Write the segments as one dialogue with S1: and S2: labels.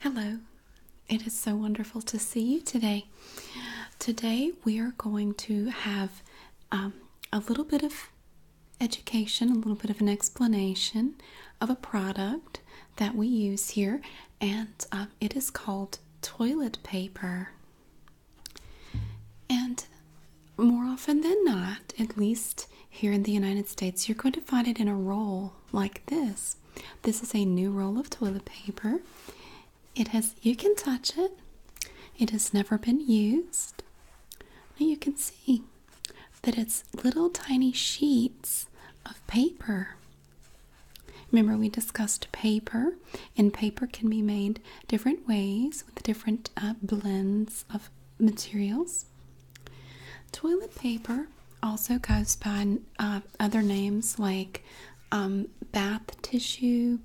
S1: Hello, it is so wonderful to see you today. Today, we are going to have um, a little bit of education, a little bit of an explanation of a product that we use here, and um, it is called toilet paper. And more often than not, at least here in the United States, you're going to find it in a roll like this. This is a new roll of toilet paper. It has you can touch it. It has never been used. Now you can see that it's little tiny sheets of paper. Remember, we discussed paper, and paper can be made different ways with different uh, blends of materials. Toilet paper also goes by uh, other names like um, bath tissue,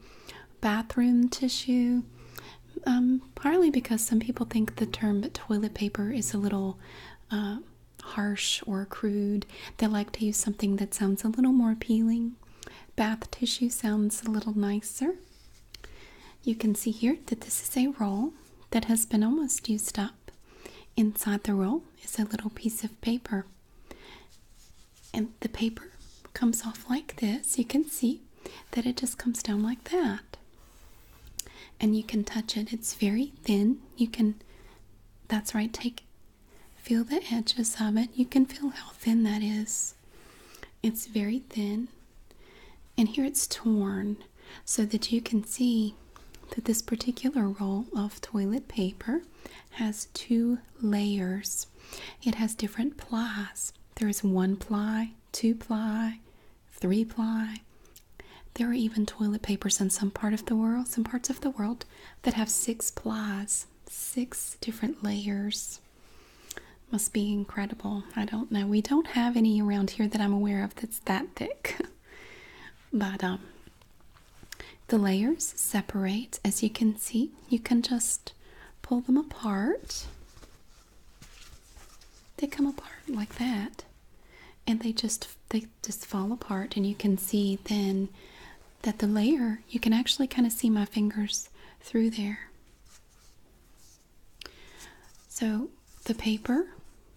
S1: bathroom tissue, um, partly because some people think the term toilet paper is a little uh, harsh or crude. They like to use something that sounds a little more appealing. Bath tissue sounds a little nicer. You can see here that this is a roll that has been almost used up. Inside the roll is a little piece of paper. And the paper comes off like this. You can see that it just comes down like that. And you can touch it. It's very thin. You can, that's right, take, feel the edges of it. You can feel how thin that is. It's very thin. And here it's torn so that you can see that this particular roll of toilet paper has two layers. It has different plies. There is one ply, two ply, three ply. There are even toilet papers in some part of the world, some parts of the world that have six plies, six different layers. Must be incredible. I don't know. We don't have any around here that I'm aware of that's that thick. but um, the layers separate as you can see. You can just pull them apart. They come apart like that and they just they just fall apart and you can see then that the layer you can actually kind of see my fingers through there so the paper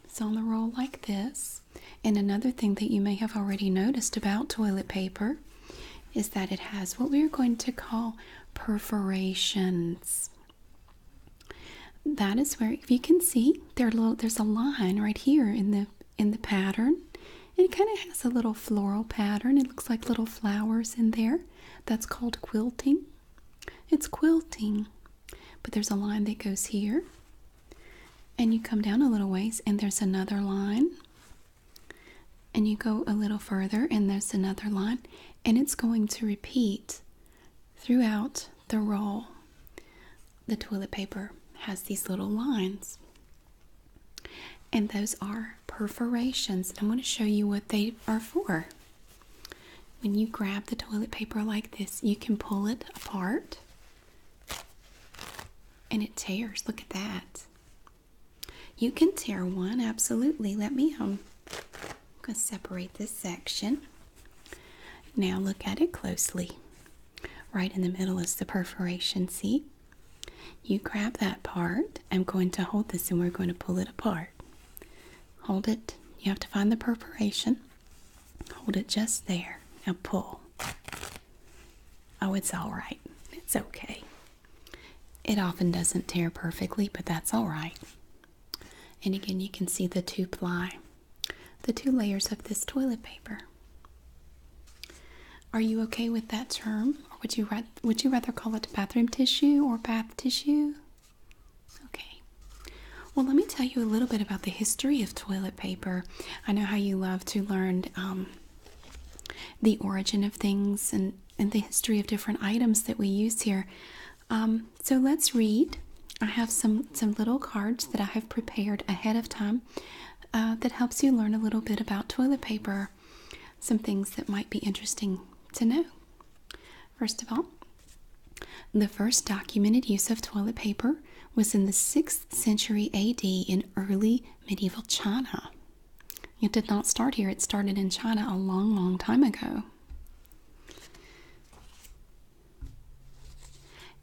S1: it's on the roll like this. And another thing that you may have already noticed about toilet paper is that it has what we are going to call perforations. That is where, if you can see, there's a line right here in the in the pattern. It kind of has a little floral pattern. It looks like little flowers in there. That's called quilting. It's quilting. But there's a line that goes here and you come down a little ways and there's another line and you go a little further and there's another line and it's going to repeat throughout the roll the toilet paper has these little lines and those are perforations i'm going to show you what they are for when you grab the toilet paper like this, you can pull it apart and it tears. Look at that. You can tear one, absolutely. Let me um I'm gonna separate this section. Now look at it closely. Right in the middle is the perforation, see? You grab that part. I'm going to hold this and we're going to pull it apart. Hold it. You have to find the perforation. Hold it just there Now pull. Oh, it's all right. It's okay. It often doesn't tear perfectly, but that's all right. And again, you can see the two ply, the two layers of this toilet paper. Are you okay with that term, or would you would you rather call it bathroom tissue or bath tissue? Okay. Well, let me tell you a little bit about the history of toilet paper. I know how you love to learn um, the origin of things and, the history of different items that we use here. Um, so let's read. I have some, some little cards that I have prepared ahead of time uh, that helps you learn a little bit about toilet paper, some things that might be interesting to know. First of all, the first documented use of toilet paper was in the 6th century AD in early medieval China. It did not start here, it started in China a long, long time ago.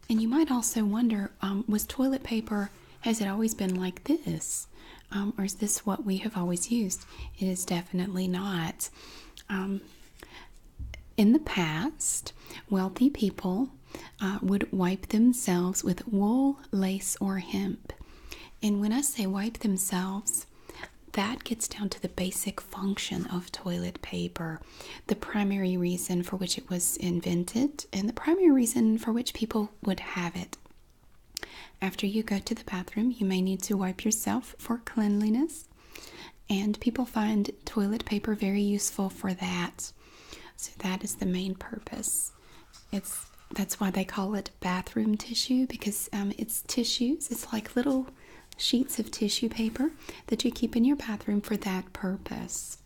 S1: And you might also wonder um, was toilet paper, has it always been like this? Um, or is this what we have always used? It is definitely not. Um, in the past, wealthy people uh, would wipe themselves with wool, lace, or hemp. And when I say wipe themselves, that gets down to the basic function of toilet paper, the primary reason for which it was invented, and the primary reason for which people would have it. After you go to the bathroom, you may need to wipe yourself for cleanliness. And people find toilet paper very useful for that. So that is the main purpose. It's that's why they call it bathroom tissue because um, it's tissues. It's like little sheets of tissue paper that you keep in your bathroom for that purpose.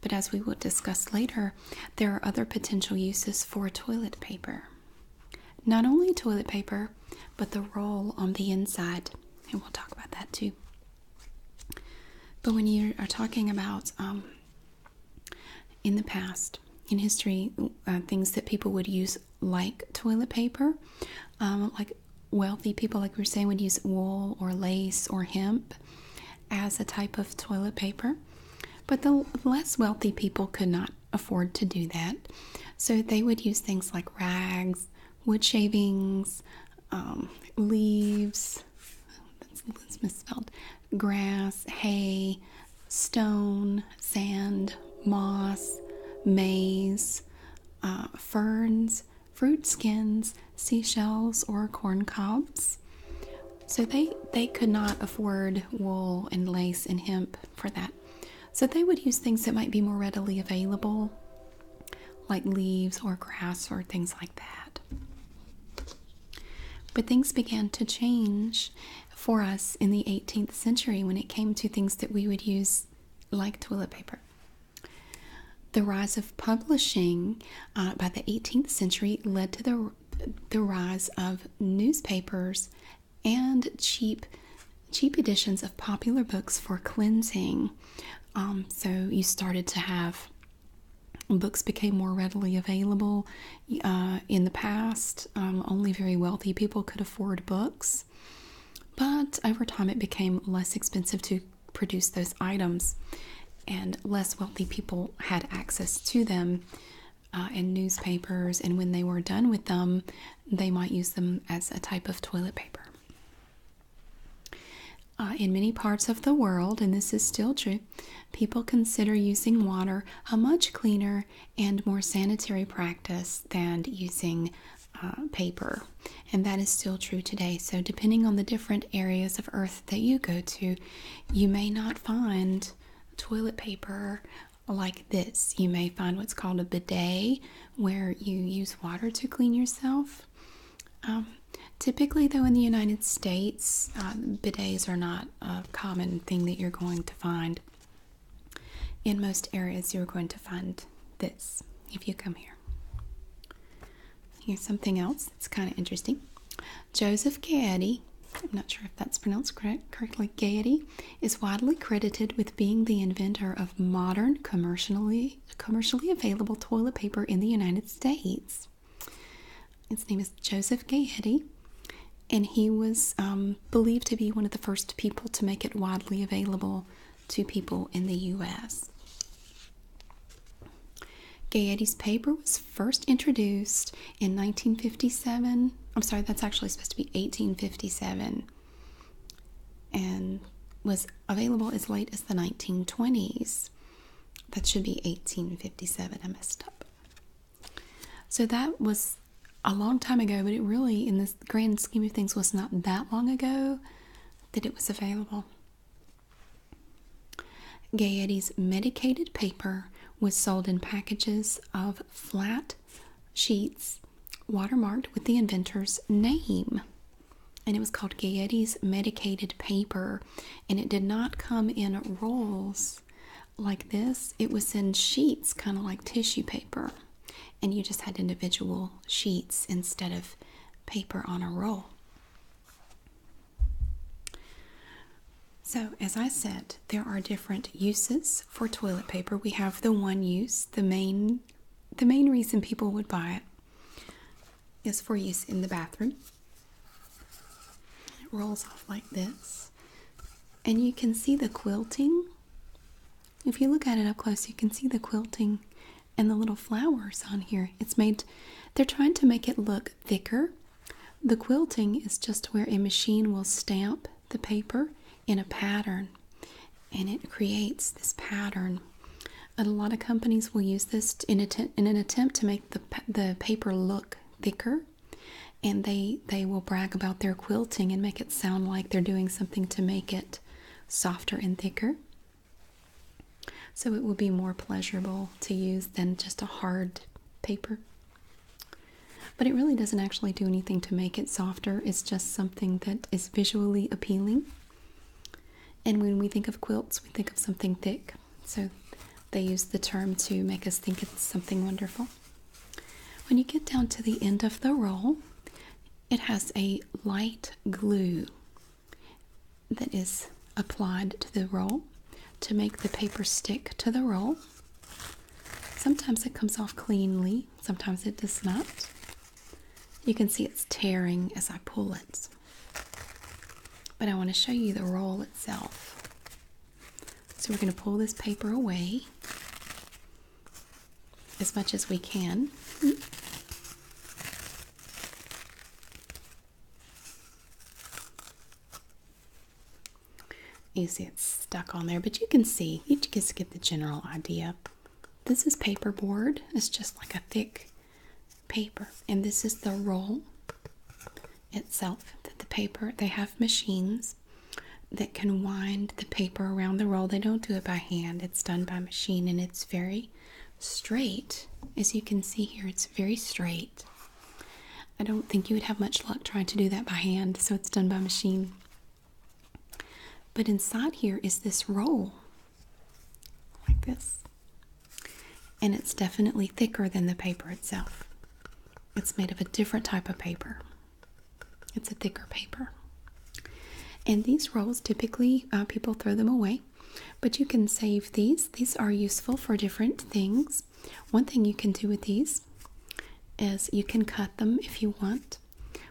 S1: But as we will discuss later, there are other potential uses for toilet paper. Not only toilet paper, but the roll on the inside. And we'll talk about that too. But when you are talking about um, in the past, in history, uh, things that people would use like toilet paper, um, like wealthy people, like we are saying, would use wool or lace or hemp as a type of toilet paper. But the less wealthy people could not afford to do that. So they would use things like rags, wood shavings, um, leaves, that's, misspelled, grass, hay, stone, sand, moss, maize, uh, ferns, fruit skins, seashells, or corn cobs. So they, they could not afford wool and lace and hemp for that. So they would use things that might be more readily available like leaves or grass or things like that. But things began to change for us in the 18th century when it came to things that we would use like toilet paper. The rise of publishing uh, by the 18th century led to the, the rise of newspapers and cheap cheap editions of popular books for cleansing um, so you started to have books became more readily available. Uh, in the past, um, only very wealthy people could afford books, but over time it became less expensive to produce those items, and less wealthy people had access to them. Uh, and newspapers, and when they were done with them, they might use them as a type of toilet paper. Uh, in many parts of the world, and this is still true, people consider using water a much cleaner and more sanitary practice than using uh, paper. And that is still true today. So, depending on the different areas of earth that you go to, you may not find toilet paper like this. You may find what's called a bidet, where you use water to clean yourself. Um, typically, though, in the United States, uh, bidets are not a common thing that you're going to find. In most areas, you're going to find this if you come here. Here's something else that's kind of interesting. Joseph Gaetti, I'm not sure if that's pronounced correctly, Gaetti, is widely credited with being the inventor of modern commercially commercially available toilet paper in the United States. His name is Joseph Gayhetty, and he was um, believed to be one of the first people to make it widely available to people in the U.S. Gayetty's paper was first introduced in 1957. I'm sorry, that's actually supposed to be 1857 and was available as late as the 1920s. That should be 1857. I messed up. So that was a long time ago, but it really, in the grand scheme of things, was not that long ago that it was available. Gaiety's medicated paper was sold in packages of flat sheets watermarked with the inventor's name and it was called Gaiety's medicated paper and it did not come in rolls like this it was in sheets kind of like tissue paper and you just had individual sheets instead of paper on a roll so as i said there are different uses for toilet paper we have the one use the main the main reason people would buy it is for use in the bathroom. It rolls off like this. And you can see the quilting. If you look at it up close, you can see the quilting and the little flowers on here. It's made, they're trying to make it look thicker. The quilting is just where a machine will stamp the paper in a pattern and it creates this pattern. a lot of companies will use this in, in an attempt to make the, the paper look thicker and they they will brag about their quilting and make it sound like they're doing something to make it softer and thicker so it will be more pleasurable to use than just a hard paper but it really doesn't actually do anything to make it softer it's just something that is visually appealing and when we think of quilts, we think of something thick. So they use the term to make us think it's something wonderful. When you get down to the end of the roll, it has a light glue that is applied to the roll to make the paper stick to the roll. Sometimes it comes off cleanly, sometimes it does not. You can see it's tearing as I pull it. But I want to show you the roll itself. So we're going to pull this paper away as much as we can. You see it's stuck on there, but you can see, you just get the general idea. This is paperboard. It's just like a thick paper. And this is the roll itself that the paper, they have machines that can wind the paper around the roll. They don't do it by hand, it's done by machine and it's very straight. As you can see here, it's very straight. I don't think you would have much luck trying to do that by hand, so it's done by machine. But inside here is this roll like this. And it's definitely thicker than the paper itself. It's made of a different type of paper. It's a thicker paper. And these rolls typically uh, people throw them away, but you can save these. These are useful for different things. One thing you can do with these is you can cut them if you want.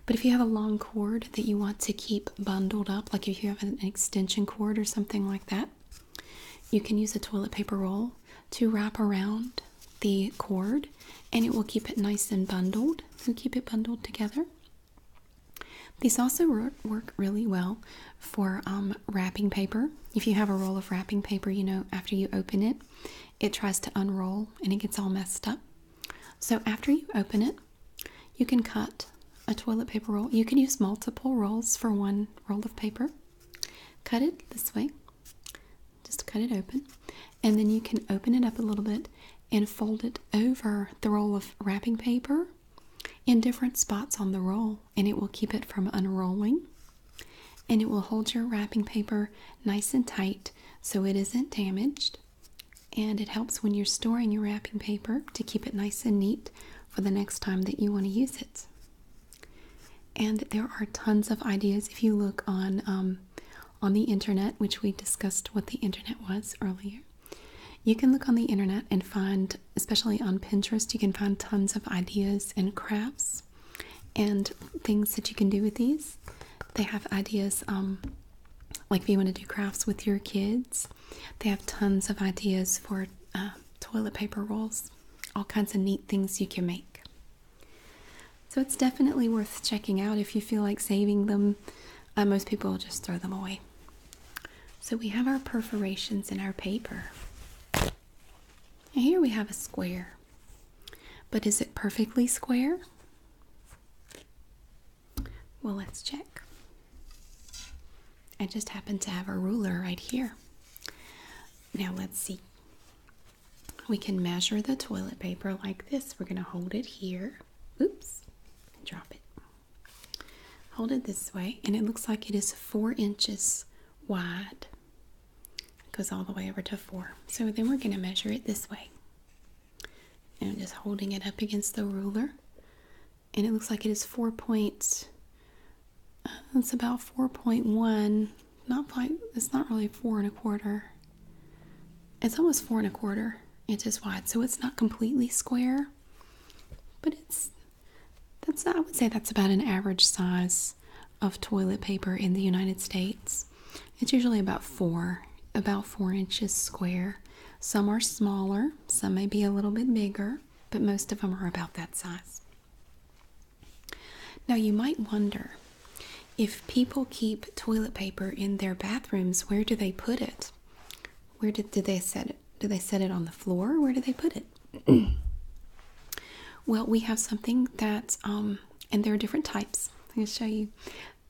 S1: But if you have a long cord that you want to keep bundled up, like if you have an extension cord or something like that, you can use a toilet paper roll to wrap around the cord and it will keep it nice and bundled and keep it bundled together. These also work really well for um, wrapping paper. If you have a roll of wrapping paper, you know, after you open it, it tries to unroll and it gets all messed up. So after you open it, you can cut a toilet paper roll. You can use multiple rolls for one roll of paper. Cut it this way, just cut it open, and then you can open it up a little bit and fold it over the roll of wrapping paper in different spots on the roll, and it will keep it from unrolling. And it will hold your wrapping paper nice and tight so it isn't damaged. And it helps when you're storing your wrapping paper to keep it nice and neat for the next time that you want to use it. And there are tons of ideas if you look on um, on the internet, which we discussed what the internet was earlier. You can look on the internet and find, especially on Pinterest, you can find tons of ideas and crafts and things that you can do with these. They have ideas um, like if you want to do crafts with your kids, they have tons of ideas for uh, toilet paper rolls, all kinds of neat things you can make. So it's definitely worth checking out if you feel like saving them. Uh, most people just throw them away. So we have our perforations in our paper. and here we have a square. But is it perfectly square? Well, let's check. I just happen to have a ruler right here. Now let's see. We can measure the toilet paper like this. We're going to hold it here. Oops. Drop it. Hold it this way, and it looks like it is four inches wide. It goes all the way over to four. So then we're going to measure it this way. I'm just holding it up against the ruler. And it looks like it is four points. Uh, it's about 4.1. Not quite, it's not really four and a quarter. It's almost four and a quarter inches wide. So it's not completely square, but it's, that's, I would say that's about an average size of toilet paper in the United States. It's usually about four, about four inches square. Some are smaller, some may be a little bit bigger, but most of them are about that size. Now, you might wonder if people keep toilet paper in their bathrooms, where do they put it? Where did, do they set it? Do they set it on the floor? Where do they put it? well, we have something that, um, and there are different types. I'm going to show you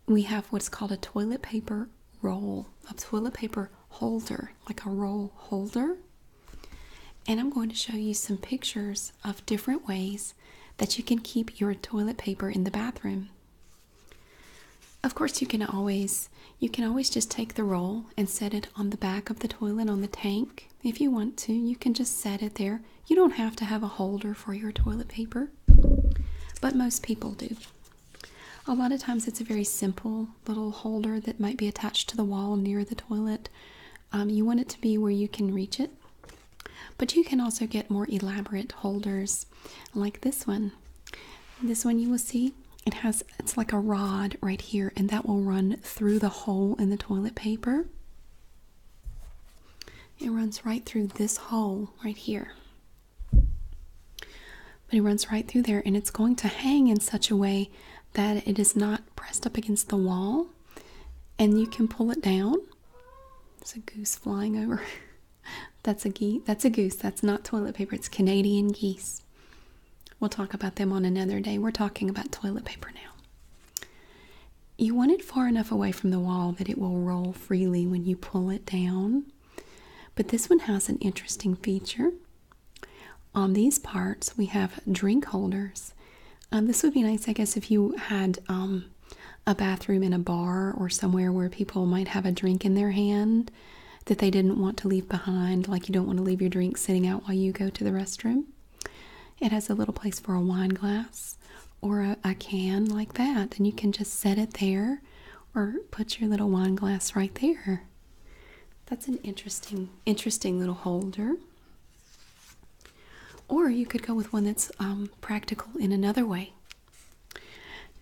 S1: we have what's called a toilet paper roll, a toilet paper holder, like a roll holder. And I'm going to show you some pictures of different ways that you can keep your toilet paper in the bathroom. Of course, you can always you can always just take the roll and set it on the back of the toilet on the tank. If you want to, you can just set it there. You don't have to have a holder for your toilet paper, but most people do. A lot of times it's a very simple little holder that might be attached to the wall near the toilet. Um, you want it to be where you can reach it, but you can also get more elaborate holders like this one. This one you will see it has it's like a rod right here, and that will run through the hole in the toilet paper. It runs right through this hole right here. But it runs right through there and it's going to hang in such a way that it is not pressed up against the wall and you can pull it down. It's a goose flying over. that's a geese. That's a goose. That's not toilet paper. It's Canadian geese. We'll talk about them on another day. We're talking about toilet paper now. You want it far enough away from the wall that it will roll freely when you pull it down. But this one has an interesting feature. On these parts, we have drink holders. Um, this would be nice, I guess, if you had um, a bathroom in a bar or somewhere where people might have a drink in their hand that they didn't want to leave behind, like you don't want to leave your drink sitting out while you go to the restroom. It has a little place for a wine glass or a can like that, and you can just set it there or put your little wine glass right there. That's an interesting, interesting little holder. Or you could go with one that's um, practical in another way.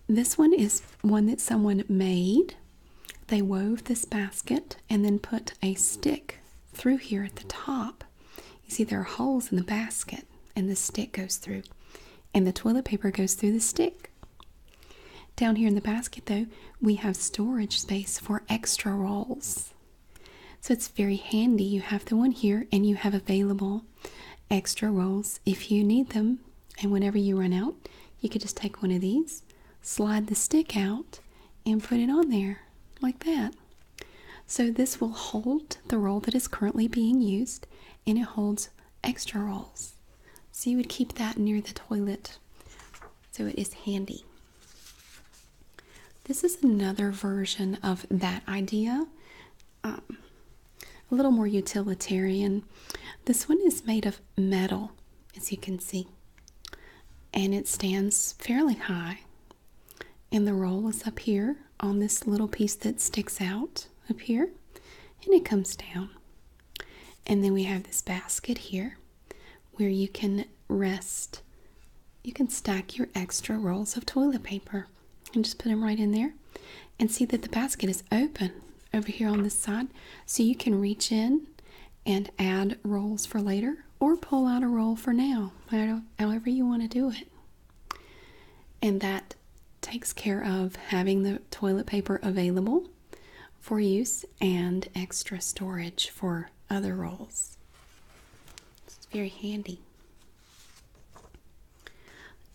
S1: This one is one that someone made. They wove this basket and then put a stick through here at the top. You see, there are holes in the basket, and the stick goes through, and the toilet paper goes through the stick. Down here in the basket, though, we have storage space for extra rolls. So it's very handy. You have the one here and you have available extra rolls if you need them. And whenever you run out, you could just take one of these, slide the stick out, and put it on there like that. So this will hold the roll that is currently being used and it holds extra rolls. So you would keep that near the toilet so it is handy. This is another version of that idea, um, a little more utilitarian. This one is made of metal, as you can see, and it stands fairly high. And the roll is up here on this little piece that sticks out up here and it comes down. And then we have this basket here where you can rest. You can stack your extra rolls of toilet paper and just put them right in there. And see that the basket is open over here on this side so you can reach in and add rolls for later or pull out a roll for now, however you want to do it. And that takes care of having the toilet paper available for use and extra storage for other rolls. It's very handy.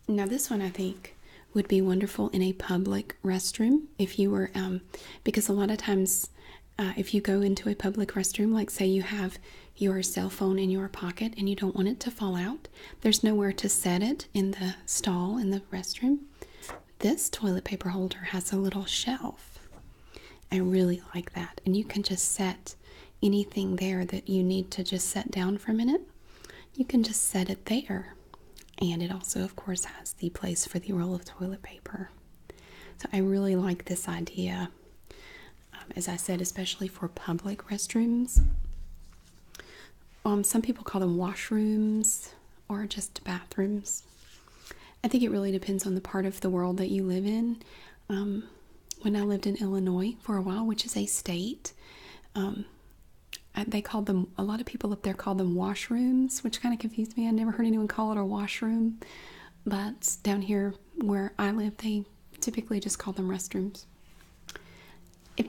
S1: Now, this one I think would be wonderful in a public restroom if you were, um, because a lot of times uh, if you go into a public restroom, like say you have your cell phone in your pocket and you don't want it to fall out, there's nowhere to set it in the stall in the restroom. This toilet paper holder has a little shelf. I really like that. And you can just set anything there that you need to just set down for a minute. You can just set it there. And it also, of course, has the place for the roll of toilet paper. So I really like this idea. Um, as I said, especially for public restrooms, um, some people call them washrooms or just bathrooms. I think it really depends on the part of the world that you live in. Um, when I lived in Illinois for a while, which is a state, um, they called them, a lot of people up there called them washrooms, which kind of confused me. I never heard anyone call it a washroom, but down here where I live, they typically just call them restrooms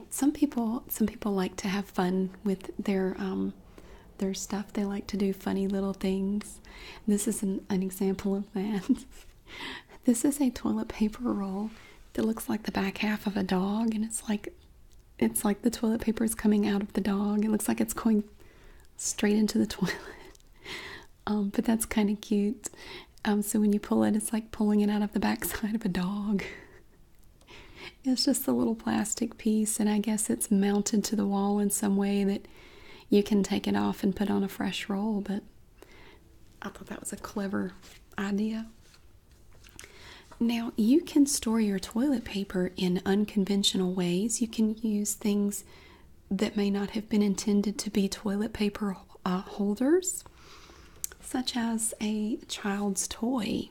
S1: some people some people like to have fun with their um, their stuff. They like to do funny little things. This is an, example of that. this is a toilet paper roll that looks like the back half of a dog, and it's like it's like the toilet paper is coming out of the dog. It looks like it's going straight into the toilet. Um, but that's kind of cute. Um, so when you pull it, it's like pulling it out of the backside of a dog it's just a little plastic piece, and I guess it's mounted to the wall in some way that you can take it off and put on a fresh roll. But I thought that was a clever idea. Now, you can store your toilet paper in unconventional ways. You can use things that may not have been intended to be toilet paper uh, holders such as a child's toy.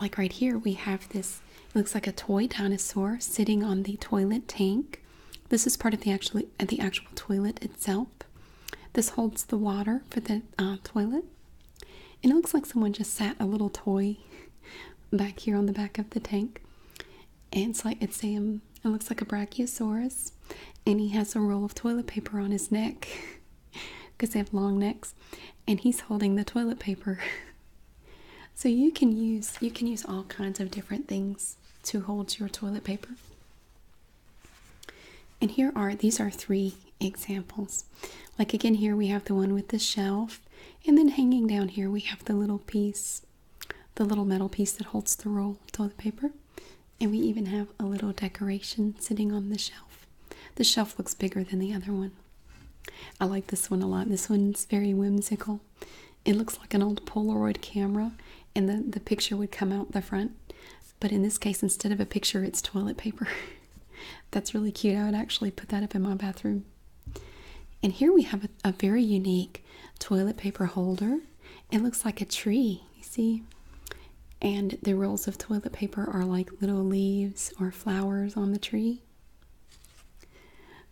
S1: Like right here, we have this, it looks like a toy dinosaur sitting on the toilet tank. This is part of the actual, the actual toilet itself. This holds the water for the uh, toilet. And it looks like someone just sat a little toy back here on the back of the tank. And it's like, it's him. it looks like a brachiosaurus. And he has a roll of toilet paper on his neck. because they have long necks and he's holding the toilet paper so you can use you can use all kinds of different things to hold your toilet paper and here are these are three examples like again here we have the one with the shelf and then hanging down here we have the little piece the little metal piece that holds the roll of toilet paper and we even have a little decoration sitting on the shelf. The shelf looks bigger than the other one. I like this one a lot. This one's very whimsical. It looks like an old Polaroid camera, and the, the picture would come out the front. But in this case, instead of a picture, it's toilet paper. That's really cute. I would actually put that up in my bathroom. And here we have a, a very unique toilet paper holder. It looks like a tree you see? And the rolls of toilet paper are like little leaves or flowers on the tree.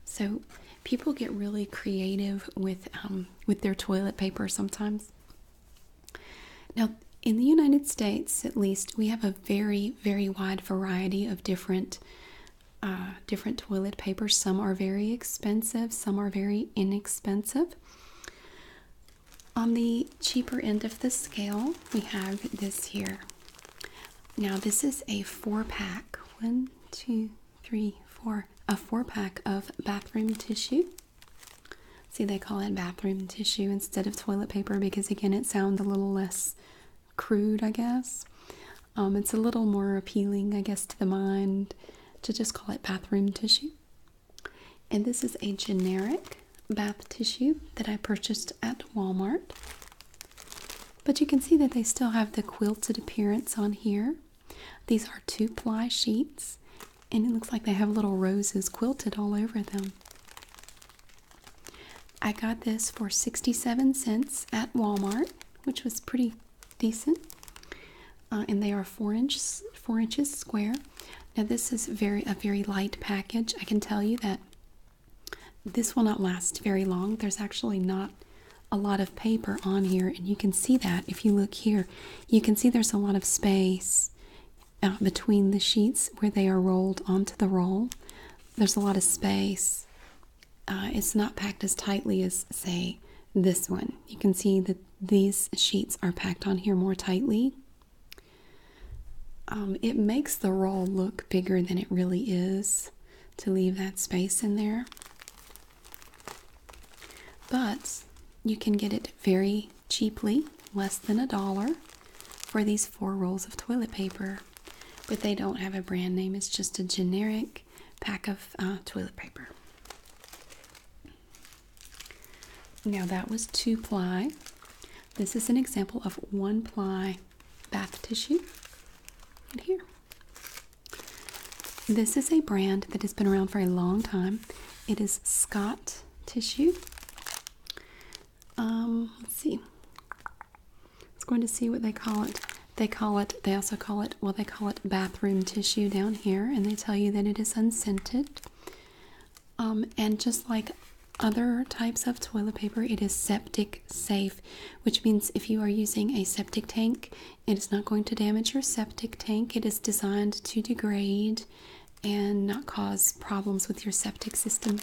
S1: So people get really creative with um, with their toilet paper sometimes. Now, in the United States, at least, we have a very very wide variety of different uh, different toilet papers. Some are very expensive. Some are very inexpensive. On the cheaper end of the scale, we have this here. Now, this is a four pack one, two, three, four a four pack of bathroom tissue. See, they call it bathroom tissue instead of toilet paper because, again, it sounds a little less crude, I guess. Um, it's a little more appealing, I guess, to the mind to just call it bathroom tissue. And this is a generic bath tissue that I purchased at Walmart. But you can see that they still have the quilted appearance on here. These are two ply sheets, and it looks like they have little roses quilted all over them. I got this for 67 cents at Walmart, which was pretty decent. Uh, and they are four inches four inches square. Now this is very a very light package. I can tell you that this will not last very long. There's actually not a lot of paper on here, and you can see that if you look here. You can see there's a lot of space out uh, between the sheets where they are rolled onto the roll. There's a lot of space. Uh, it's not packed as tightly as, say, this one. You can see that these sheets are packed on here more tightly. Um, it makes the roll look bigger than it really is to leave that space in there. But you can get it very cheaply, less than a dollar, for these four rolls of toilet paper. But they don't have a brand name, it's just a generic pack of uh, toilet paper. Now that was two ply. This is an example of one ply bath tissue. Right here. This is a brand that has been around for a long time. It is Scott tissue. Um, let's see. It's going to see what they call it. They call it, they also call it, well, they call it bathroom tissue down here, and they tell you that it is unscented. Um, and just like other types of toilet paper, it is septic safe, which means if you are using a septic tank, it is not going to damage your septic tank. It is designed to degrade and not cause problems with your septic system.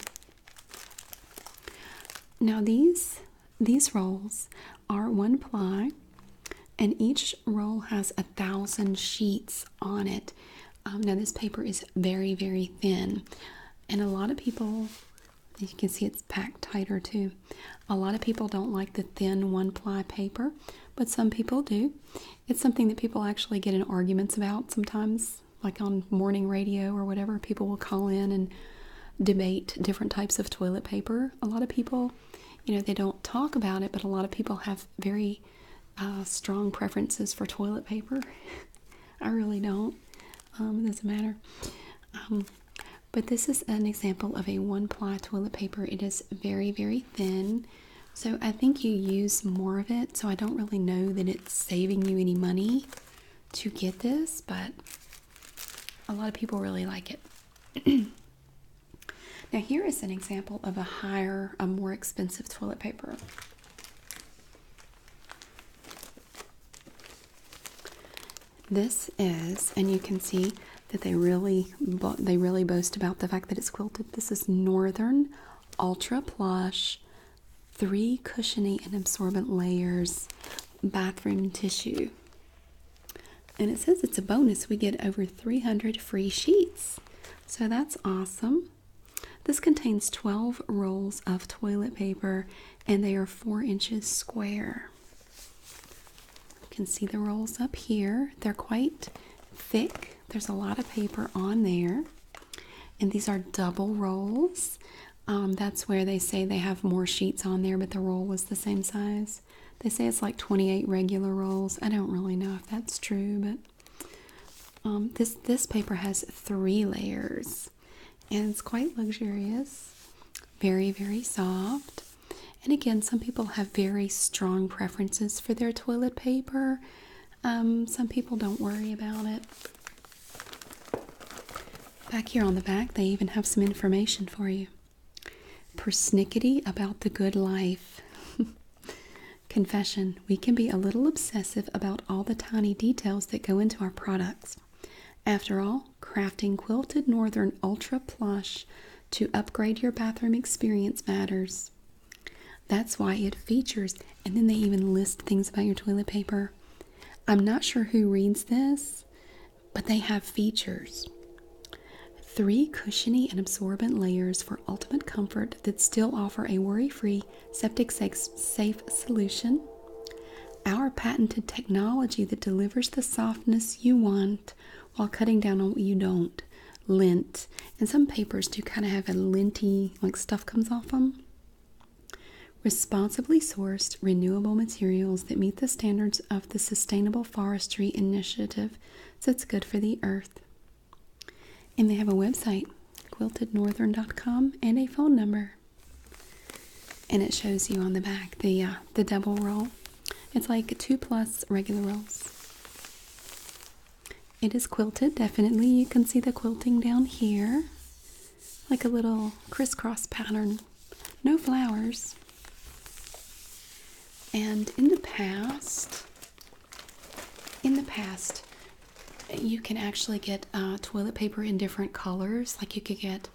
S1: Now these these rolls are one ply and each roll has a thousand sheets on it. Um, now, this paper is very, very thin, and a lot of people, as you can see, it's packed tighter too. A lot of people don't like the thin one ply paper, but some people do. It's something that people actually get in arguments about sometimes, like on morning radio or whatever. People will call in and debate different types of toilet paper. A lot of people, you know, they don't talk about it, but a lot of people have very uh, strong preferences for toilet paper. I really don't. Um, it doesn't matter. Um, but this is an example of a one ply toilet paper. It is very, very thin. So I think you use more of it. So I don't really know that it's saving you any money to get this, but a lot of people really like it. now, here is an example of a higher, a more expensive toilet paper. This is, and you can see that they really they really boast about the fact that it's quilted. This is Northern Ultra Plush, three cushiony and absorbent layers, bathroom tissue. And it says it's a bonus. We get over 300 free sheets. So that's awesome. This contains 12 rolls of toilet paper and they are 4 inches square. You can see the rolls up here. They're quite thick, there's a lot of paper on there. And these are double rolls. Um, that's where they say they have more sheets on there, but the roll was the same size. They say it's like 28 regular rolls. I don't really know if that's true, but um, this this paper has three layers, and it's quite luxurious, very very soft. And again, some people have very strong preferences for their toilet paper. Um, some people don't worry about it. Back here on the back, they even have some information for you. Persnickety about the good life. Confession We can be a little obsessive about all the tiny details that go into our products. After all, crafting quilted northern ultra plush to upgrade your bathroom experience matters. That's why it features, and then they even list things about your toilet paper. I'm not sure who reads this, but they have features. Three cushiony and absorbent layers for ultimate comfort that still offer a worry free, septic safe solution. Our patented technology that delivers the softness you want while cutting down on what you don't. Lint. And some papers do kind of have a linty, like stuff comes off them. Responsibly sourced renewable materials that meet the standards of the Sustainable Forestry Initiative, so it's good for the earth. And they have a website, quiltednorthern.com, and a phone number. And it shows you on the back the uh, the double roll. It's like two plus regular rolls. It is quilted, definitely. You can see the quilting down here, like a little crisscross pattern. No flowers. And in the past, in the past, you can actually get uh, toilet paper in different colors. Like you could get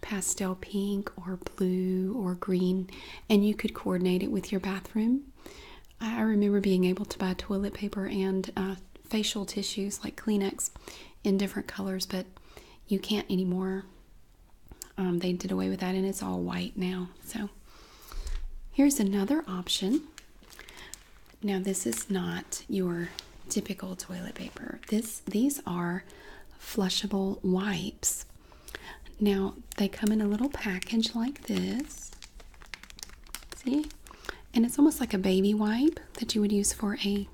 S1: pastel pink or blue or green, and you could coordinate it with your bathroom. I remember being able to buy toilet paper and uh, facial tissues like Kleenex in different colors, but you can't anymore. Um, they did away with that, and it's all white now. So, here's another option. Now this is not your typical toilet paper. This these are flushable wipes. Now they come in a little package like this. See? And it's almost like a baby wipe that you would use for a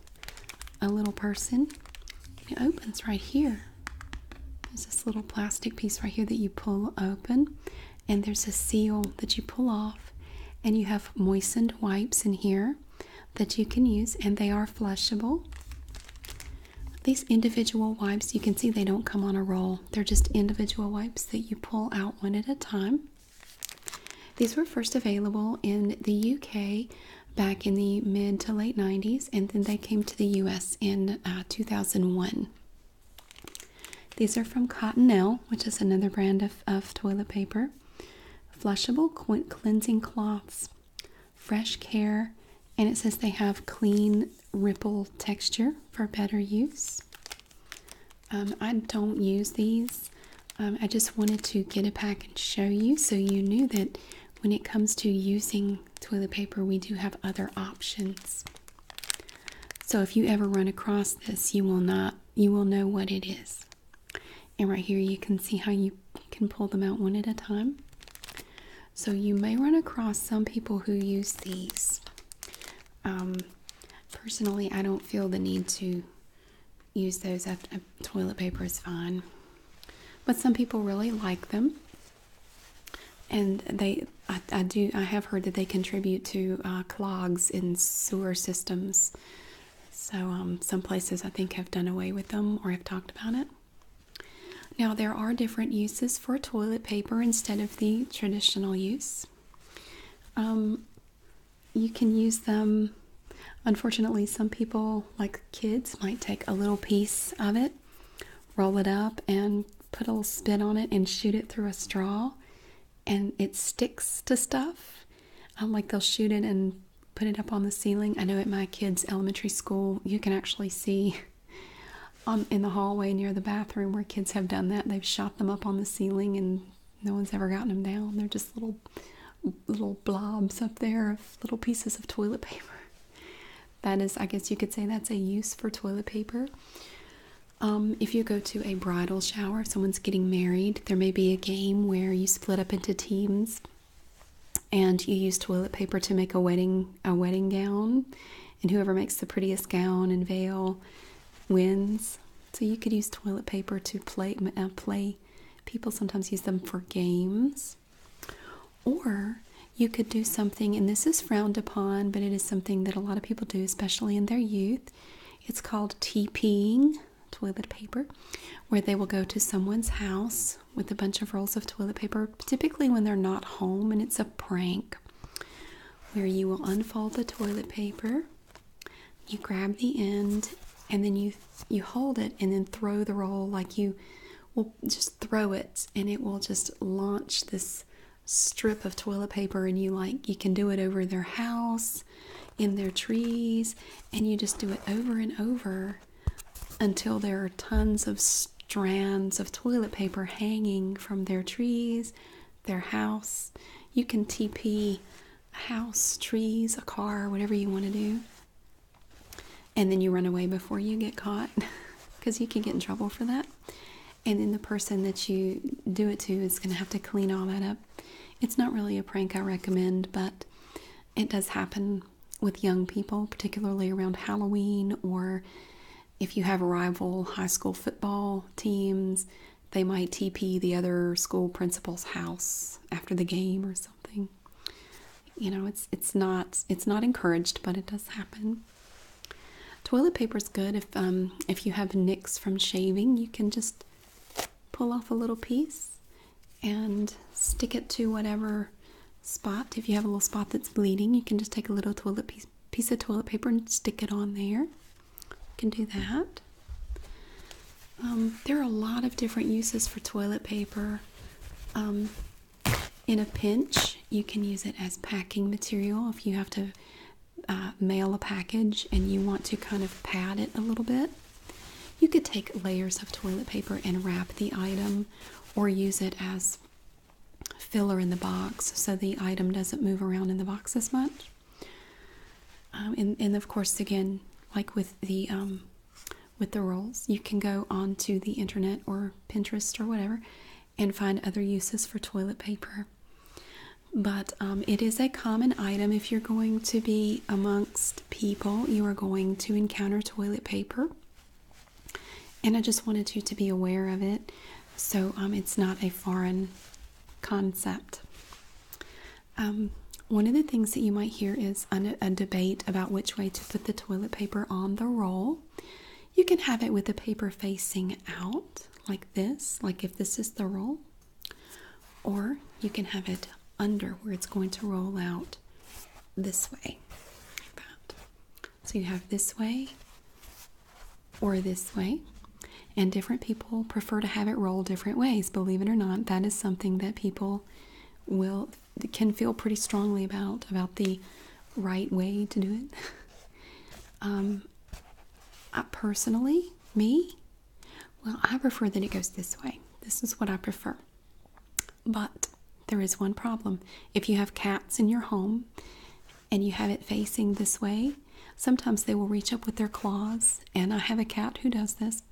S1: a little person. It opens right here. There's this little plastic piece right here that you pull open and there's a seal that you pull off, and you have moistened wipes in here that you can use, and they are flushable. These individual wipes, you can see they don't come on a roll, they're just individual wipes that you pull out one at a time. These were first available in the UK back in the mid to late 90s, and then they came to the US in uh, 2001. These are from Cottonelle, which is another brand of, toilet paper. Flushable cleansing cloths, fresh care, and it says they have clean ripple texture for better use. Um, I don't use these. Um, I just wanted to get a pack and show you so you knew that when it comes to using toilet paper, we do have other options. So if you ever run across this, you will not you will know what it is. And right here you can see how you can pull them out one at a time. So you may run across some people who use these. Um, personally, I don't feel the need to use those. toilet paper is fine, but some people really like them and they I, do I have heard that they contribute to uh, clogs in sewer systems. So um, some places I think have done away with them or have talked about it. Now there are different uses for toilet paper instead of the traditional use. Um, you can use them. Unfortunately, some people, like kids, might take a little piece of it, roll it up, and put a little spin on it and shoot it through a straw and it sticks to stuff. Um, like they'll shoot it and put it up on the ceiling. I know at my kids' elementary school, you can actually see on um, in the hallway near the bathroom where kids have done that. They've shot them up on the ceiling and no one's ever gotten them down. They're just little little blobs up there of little pieces of toilet paper. That is, I guess you could say that's a use for toilet paper. Um, if you go to a bridal shower, if someone's getting married, there may be a game where you split up into teams and you use toilet paper to make a wedding a wedding gown and whoever makes the prettiest gown and veil wins. So you could use toilet paper to play uh, play. People sometimes use them for games. Or you could do something and this is frowned upon, but it is something that a lot of people do, especially in their youth. It's called TPing toilet paper, where they will go to someone's house with a bunch of rolls of toilet paper, typically when they're not home, and it's a prank where you will unfold the toilet paper, you grab the end, and then you you hold it and then throw the roll like you will just throw it and it will just launch this strip of toilet paper and you like you can do it over their house in their trees and you just do it over and over until there are tons of strands of toilet paper hanging from their trees their house you can tp a house trees a car whatever you want to do and then you run away before you get caught because you can get in trouble for that and then the person that you do it to is going to have to clean all that up. It's not really a prank I recommend, but it does happen with young people, particularly around Halloween or if you have rival high school football teams, they might TP the other school principal's house after the game or something. You know, it's it's not it's not encouraged, but it does happen. Toilet paper is good if um, if you have nicks from shaving, you can just pull off a little piece and stick it to whatever spot. If you have a little spot that's bleeding, you can just take a little piece piece of toilet paper and stick it on there. You can do that. Um, there are a lot of different uses for toilet paper. Um, in a pinch, you can use it as packing material if you have to uh, mail a package and you want to kind of pad it a little bit, you could take layers of toilet paper and wrap the item or use it as filler in the box so the item doesn't move around in the box as much. Um, and, of course, again, like with the um, with the rolls, you can go onto the internet or Pinterest or whatever and find other uses for toilet paper. But um, it is a common item if you're going to be amongst people, you are going to encounter toilet paper. And I just wanted you to be aware of it so um, it's not a foreign concept. Um, one of the things that you might hear is a debate about which way to put the toilet paper on the roll. You can have it with the paper facing out, like this, like if this is the roll, or you can have it under where it's going to roll out this way, like that. So you have this way or this way, and different people prefer to have it roll different ways. Believe it or not, that is something that people will can feel pretty strongly about about the right way to do it. Um, I uh, personally, me, well, I prefer that it goes this way. This is what I prefer. But there is one problem. If you have cats in your home and you have it facing this way, sometimes they will reach up with their claws, and I have a cat who does this,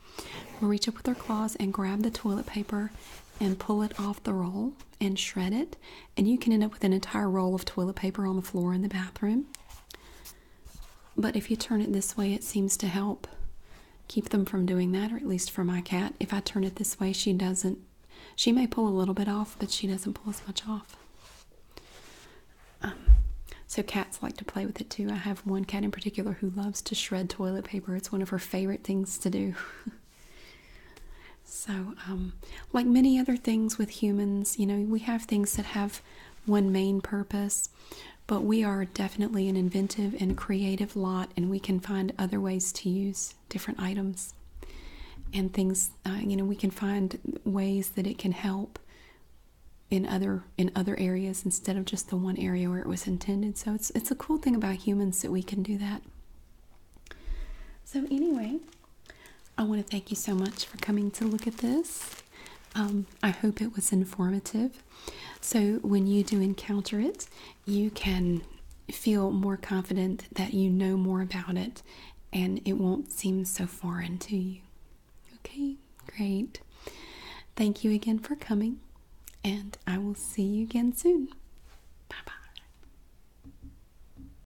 S1: will reach up with their claws and grab the toilet paper and pull it off the roll and shred it, and you can end up with an entire roll of toilet paper on the floor in the bathroom. But if you turn it this way, it seems to help keep them from doing that, or at least for my cat. If I turn it this way, she doesn't, she may pull a little bit off, but she doesn't pull as much off. Um, so cats like to play with it too. I have one cat in particular who loves to shred toilet paper, it's one of her favorite things to do. So, um, like many other things with humans, you know, we have things that have one main purpose, but we are definitely an inventive and creative lot, and we can find other ways to use different items and things. Uh, you know, we can find ways that it can help in other in other areas instead of just the one area where it was intended. So it's it's a cool thing about humans that we can do that. So anyway, I want to thank you so much for coming to look at this. Um, I hope it was informative. So, when you do encounter it, you can feel more confident that you know more about it and it won't seem so foreign to you. Okay, great. Thank you again for coming, and I will see you again soon. Bye bye.